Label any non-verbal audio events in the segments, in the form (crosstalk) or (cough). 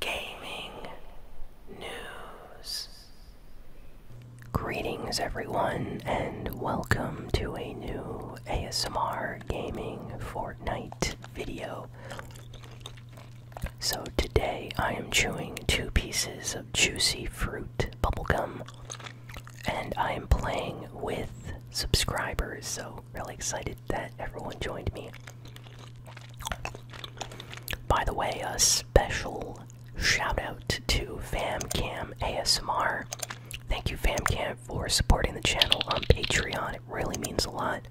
gaming news. Greetings, everyone, and welcome to a new ASMR Gaming Fortnite video. So, today I am chewing two pieces of juicy fruit bubblegum, and I am playing with subscribers, so, really excited that everyone joined me. By the way, a special shout out to FamCam ASMR. Thank you, FamCam, for supporting the channel on Patreon. It really means a lot.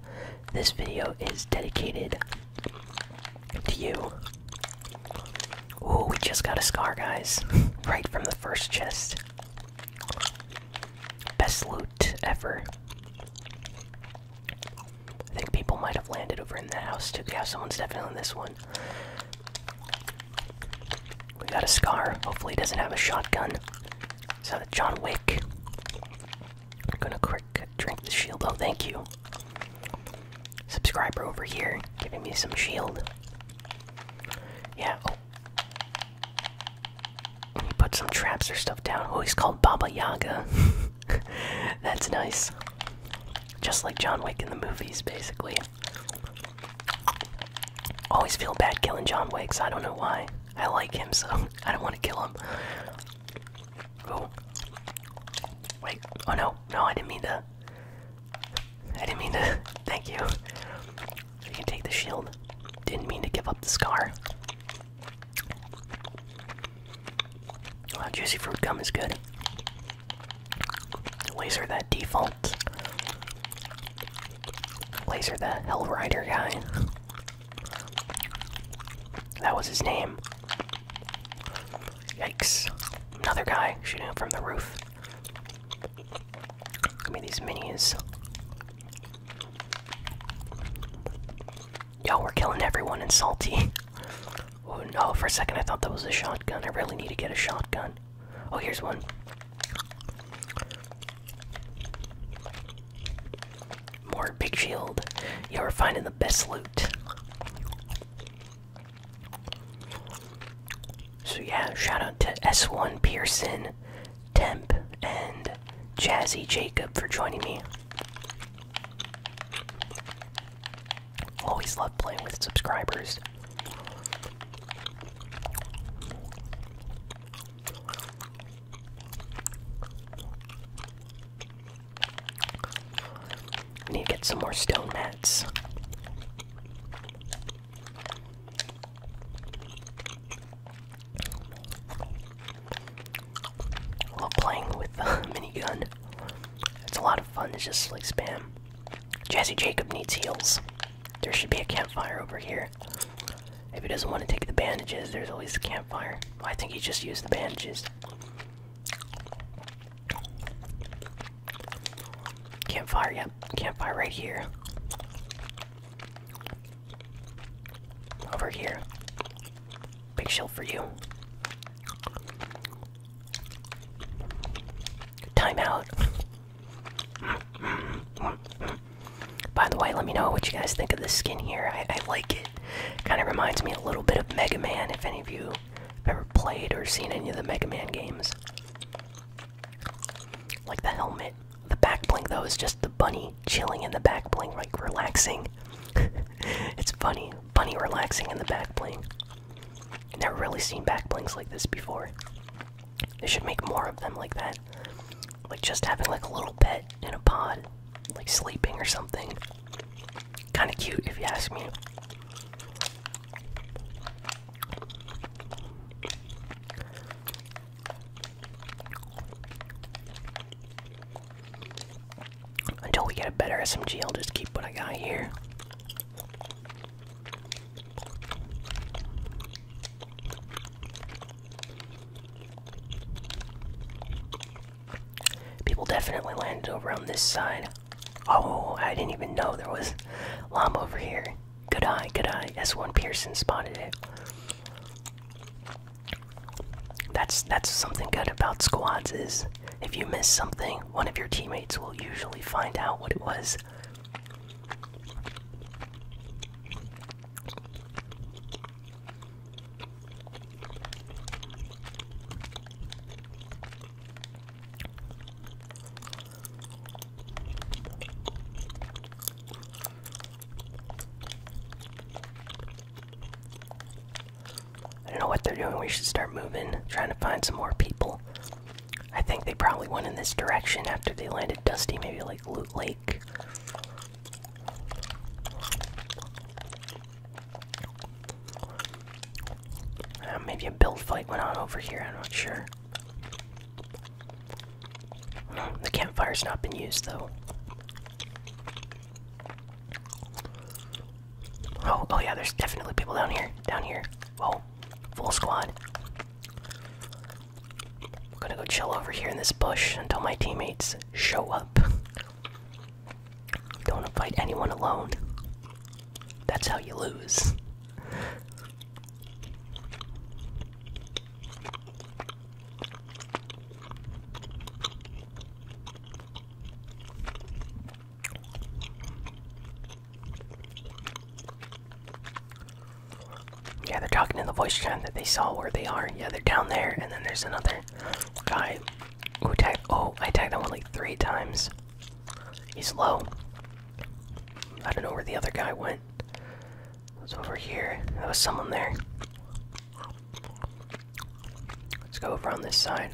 This video is dedicated to you. Ooh, we just got a scar, guys. (laughs) right from the first chest. Best loot ever. I think people might have landed over in that house too. Yeah, someone's definitely in this one. We got a scar. Hopefully, he doesn't have a shotgun. So, John Wick. gonna quick drink the shield. Oh, thank you. Subscriber over here giving me some shield. Yeah, oh. He put some traps or stuff down. Oh, he's called Baba Yaga. (laughs) (laughs) That's nice. Just like John Wick in the movies, basically. Always feel bad killing John Wick, so I don't know why. I like him, so (laughs) I don't want to kill him. Oh. Wait. Oh no. No, I didn't mean to. I didn't mean to. (laughs) Thank you. You can take the shield. Didn't mean to give up the scar. Oh, juicy fruit gum is good. Laser that default. Laser the Hell Rider guy. That was his name. Yikes. Another guy shooting from the roof. Give me these minis. Yo, we're killing everyone in salty. (laughs) oh no, for a second I thought that was a shotgun. I really need to get a shotgun. Oh, here's one. More big shield. you we're finding the best loot. So yeah, shout out to S1 Pearson, Temp, and Jazzy Jacob for joining me. Always love playing with subscribers. We need to get some more stone mats love playing with the (laughs) minigun. It's a lot of fun. to just like spam. Jazzy Jacob needs heals. There should be a campfire over here. If he doesn't want to take the bandages, there's always the campfire. I think he just used the bandages. Campfire, yep. Campfire right here. Over here. Big shield for you. Timeout. By the way, let me know what you guys think of this skin here. I, like it. Kind of reminds me a little bit of Mega Man, if any of you have ever played or seen any of the Mega Man games. Like the helmet. The back bling though, is just the bunny chilling in the back bling, like relaxing. (laughs) it's funny, funny relaxing in the back bling. Never really seen back blings like this before. They should make more of them like that. Like just having like a little pet in a pod, like sleeping or something. Kind of cute if you ask me. Until we get a better SMG, I'll just keep what I got here. People definitely landed over on this side. Oh, I didn't even know there was llama over here. Good eye, good eye. S1 Pearson spotted it. That's that's something good about squads is if you miss something, one of your teammates will usually find out what it was. I don't know what they're doing. We should start moving, trying to find some more people. I think they probably went in this direction after they landed Dusty, maybe like Loot Lake. Uh, maybe a build fight went on over here, I'm not sure. The campfire's not been used though. Oh, oh yeah, there's definitely people down here. Down here. Whoa, full squad. I'm gonna go chill over here in this bush until my teammates show up. Don't wanna fight anyone alone. That's how you lose. Yeah, they're talking in the voice chat that they saw where they are. Yeah, they're down there, and then there's another guy who tagged. Oh, I tagged that one like three times. He's low. I don't know where the other guy went. It was over here. There was someone there. Let's go over on this side.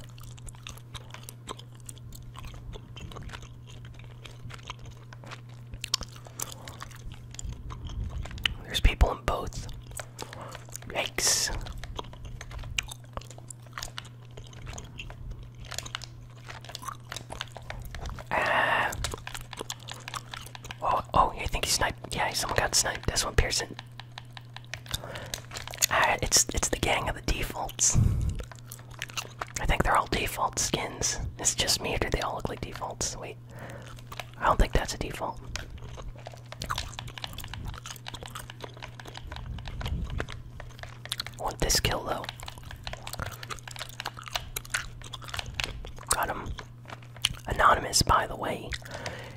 There's people in both. Yikes. Ah. Oh, oh, I think he sniped. Yeah, someone got sniped. That's one, Pearson. Uh, it's it's the gang of the defaults. I think they're all default skins. It's just me, do they all look like defaults? Wait. I don't think that's a default. want this kill though. Got him. Anonymous, by the way.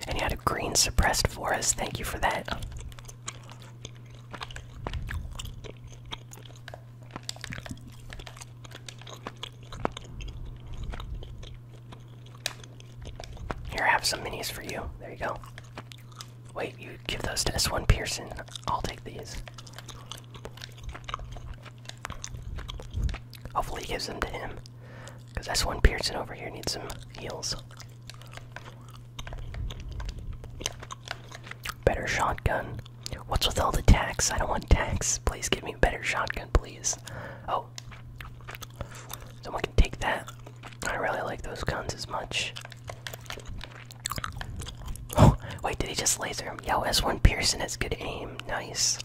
And you had a green suppressed for us. Thank you for that. Here, I have some minis for you. There you go. Wait, you give those to S1 Pearson. I'll take these. Hopefully, he gives them to him. Because s one Pearson over here needs some heals. Better shotgun. What's with all the tax? I don't want tax. Please give me a better shotgun, please. Oh. Someone can take that. I really like those guns as much. Oh, wait, did he just laser him? Yo, S1 Pearson has good aim. Nice.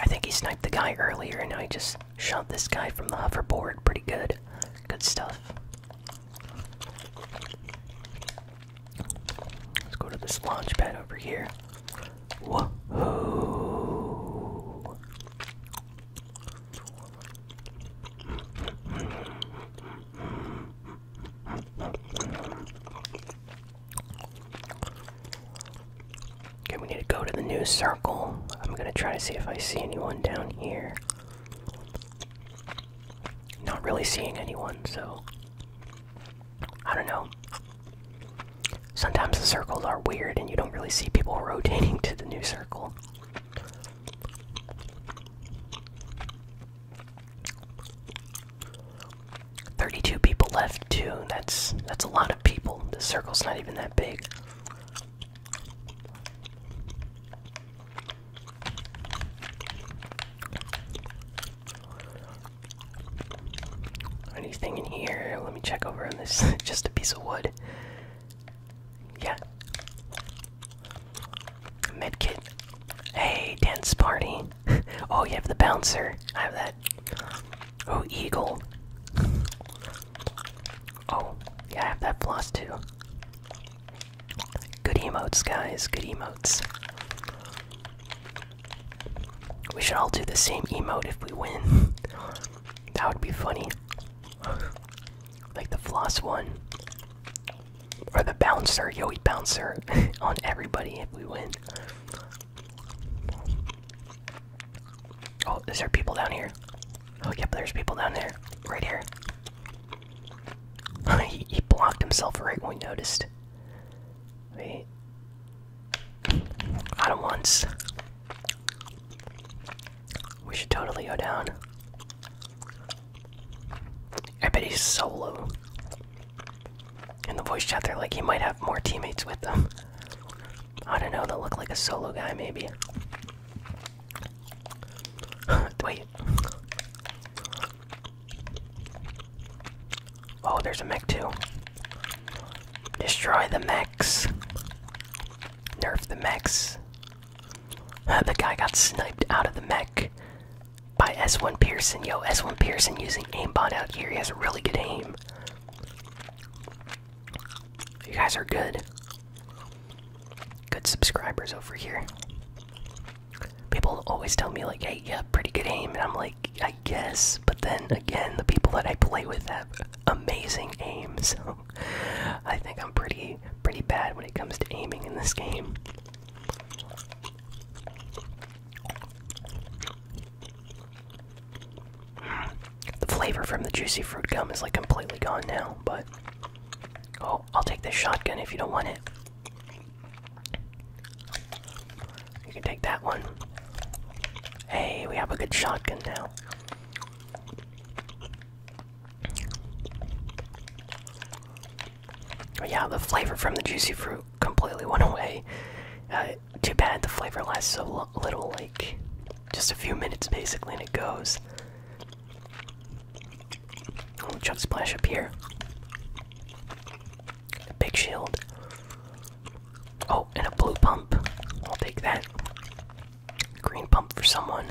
I think he sniped the guy earlier and now he just Shot this guy from the hoverboard. Pretty good. Good stuff. Let's go to this launch pad over here. Okay, we need to go to the new circle. I'm gonna try to see if I see anyone down here. Not really seeing anyone, so. I don't know. Sometimes the circles are weird and you don't really see people (laughs) rotating to the new circle. Thirty-two people left too. That's that's a lot of people. The circle's not even that big. Anything in here? Let me check over on this. (laughs) Just a piece of wood. Yeah. Medkit. Hey, dance party. (laughs) oh, you have the bouncer. I have that. Oh, eagle. Oh, yeah, I have that floss too. Good emotes, guys. Good emotes. We should all do the same emote if we win. that would be funny. Like the floss one. Or the bouncer, Yoey Bouncer, (laughs) on everybody if we win. Oh, is there people down here? Oh, yep, there's people down there. Right here. (laughs) he, blocked himself right when we noticed. Wait. Got once. We should totally go down. I bet he's solo. In the voice chat, they're like, he might have more teammates with them. I don't know, they'll look like a solo guy, maybe. (laughs) Wait. Oh, there's a mech too. Destroy the mechs. Nerf the mechs. Uh, the guy got sniped out of the mech by S1 Pearson. Yo, S1 Pearson using aimbot out here. He has a really good aim. You guys are good. Good subscribers over here. People always tell me, like, hey, you yeah, pretty good aim. And I'm like, I guess. But then again, the people that I play with have amazing aim. (laughs) So I think I'm pretty, pretty bad when it comes to aiming in this game. The flavor from the juicy fruit gum is like completely gone now, but. Oh, I'll take this shotgun if you don't want it. You can take that one. Hey, we have a good shotgun now. yeah, the flavor from the juicy fruit completely went away. Uh, too bad the flavor lasts so long little like just a few minutes basically and it goes. Oh, jump splash up here. big shield. Oh, and a blue pump. I'll take that. Green pump for someone.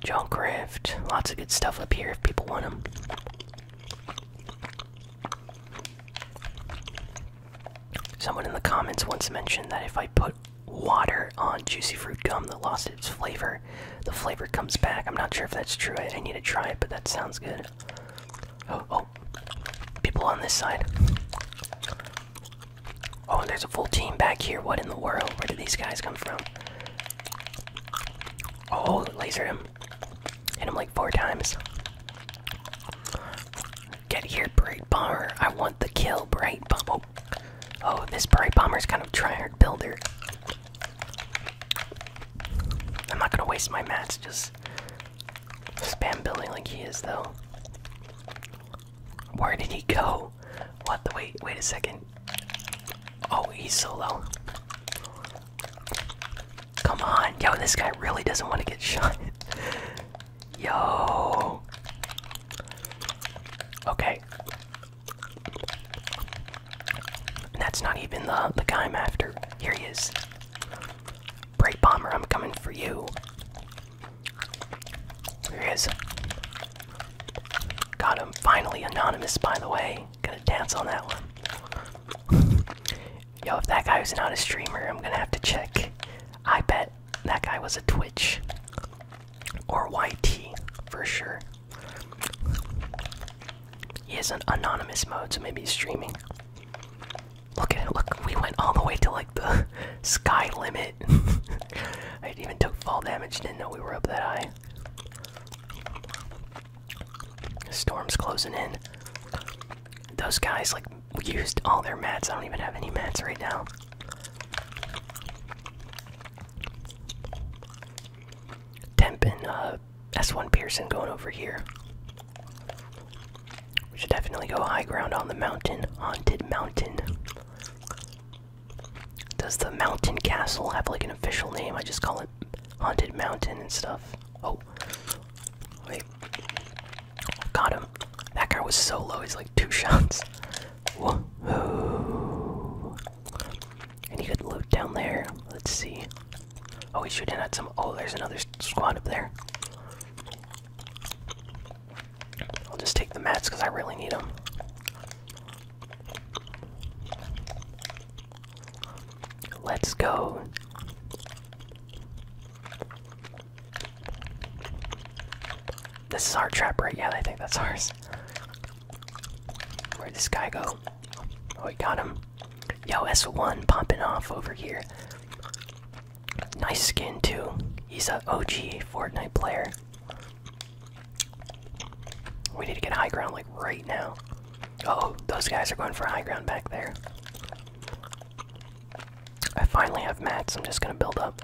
Junk rift. Lots of good stuff up here if people want them. Someone in the comments once mentioned that if I put water on juicy fruit gum that lost its flavor, the flavor comes back. I'm not sure if that's true. I, need to try it, but that sounds good. Oh, oh. People on this side. Oh, and there's a full team back here. What in the world? Where did these guys come from? Oh, laser him. Hit him like four times. Get here, Bright Bomber. I want the kill, Bright Bomber. Oh, this Bright Bomber's kind of tryhard builder. I'm not gonna waste my mats just spam building like he is, though. Where did he go? What the wait? Wait a second. Oh, he's solo. Come on, yo! This guy really doesn't want to get (laughs) shot. Yo. Okay. that's not even the the guy I'm after. Here he is. Break bomber, I'm coming for you. Here he is. Got him. Finally anonymous, by the way. Gonna dance on that one. Yo, if that guy was not a streamer, I'm gonna have to check. I bet that guy was a Twitch or YT for sure. He is an anonymous mode, so maybe he's streaming. Look at it, look, we went all the way to like the (laughs) sky limit. (laughs) I even took fall damage, didn't know we were up that high. Storm's closing in. Those guys like used all their mats. I don't even have any mats right now. Temp uh, S1 Pearson going over here. We should definitely go high ground on the mountain. Haunted Mountain. Does the mountain castle have like an official name? I just call it Haunted Mountain and stuff. Oh, wait. Got him. That guy was so low, he's like two (laughs) shots. And he good loot down there? Let's see. Oh, he's shooting at some. Oh, there's another squad up there. I'll just take the mats because I really need them. Let's go. This is our trap, right? Yeah, I think that's ours. Where'd this guy go? Oh, we got him. Yo, S1 pumping off over here. Nice skin, too. He's a OG Fortnite player. We need to get high ground, like, right now. oh, those guys are going for high ground back there. I finally have mats. I'm just gonna build up.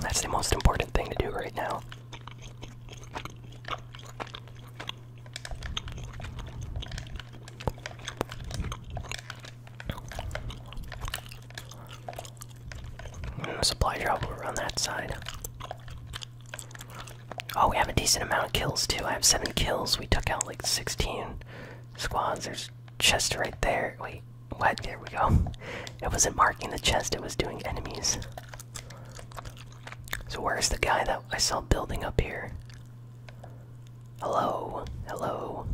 That's the most important thing to do right now. Mm, supply drop over on that side. Oh, we have a decent amount of kills too. I have seven kills. We took out like 16 squads. There's chest right there. Wait, what? There we go. (laughs) It wasn't marking the chest, it was doing enemies. So, where's the guy that I saw building up here? Hello? Hello?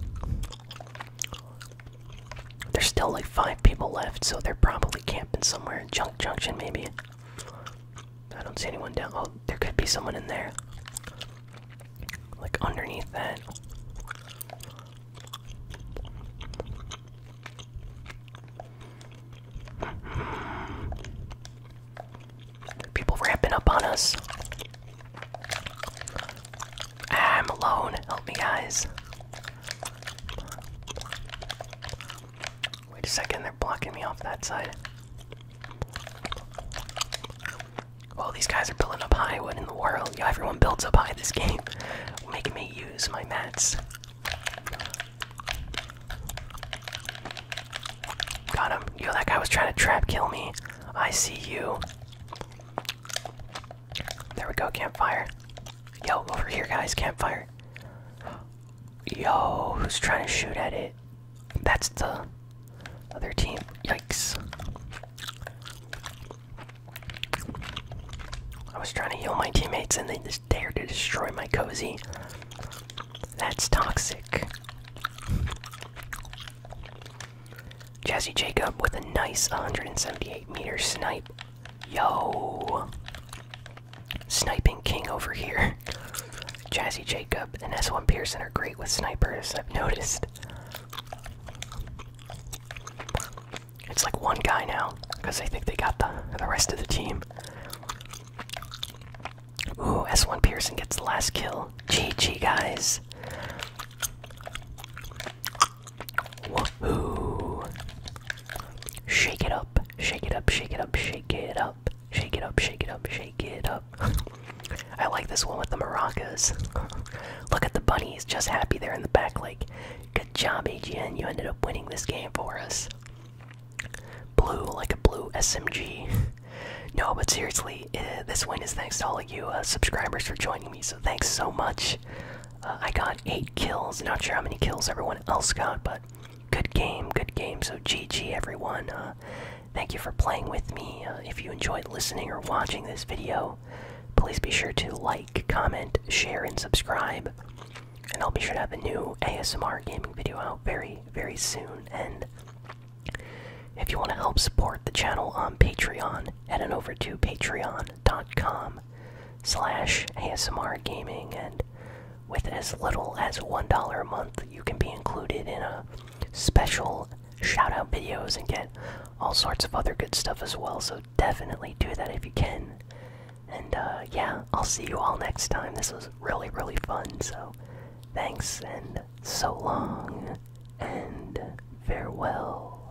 There's still like five people left, so they're probably camping somewhere. in Junk Junction, maybe. I don't see anyone down. Oh, there could be someone in there. Like underneath that. People ramping up on us. I'm alone. Help me, guys. Wait a second, they're blocking me off that side. Well, these guys are building up high. What in the world? Yo, everyone builds up high this game, (laughs) making me use my mats. Got him. Yo, that guy was trying to trap kill me. I see you. There we go, campfire. Yo, over here, guys, campfire. Yo, who's trying to shoot at it? That's the other team. Yikes. I was trying to heal my teammates and they just dared to destroy my cozy. That's toxic. Jazzy Jacob with a nice 178 meter snipe. Yo. Sniping King over here. Jazzy Jacob and S1 Pearson are great with snipers, I've noticed. It's like one guy now, because I think they got the, the rest of the team. Ooh, S1 Pearson gets the last kill. GG, guys. Woohoo. Shake it up, shake it up, shake it up, shake it up, shake it up, shake it up, shake it up. (laughs) I like this one with the maracas. (laughs) Look at the bunnies, just happy there in the back, like, good job, AGN, you ended up winning this game for us. Blue, like a blue SMG. (laughs) no, but seriously, uh, this win is thanks to all of you uh, subscribers for joining me, so thanks so much. Uh, I got 8 kills, not sure how many kills everyone else got, but good game, good game. So GG everyone. Uh, thank you for playing with me. Uh, if you enjoyed listening or watching this video, please be sure to like, comment, share, and subscribe. And I'll be sure to have a new ASMR gaming video out very, very soon. And if you want to help support the channel on Patreon, head on over to patreon.com slash ASMR gaming and with as little as $1 a month, you can be included in a special shout out videos and get all sorts of other good stuff as well. So definitely do that if you can. And uh, yeah, I'll see you all next time. This was really, really fun. So thanks and so long and farewell.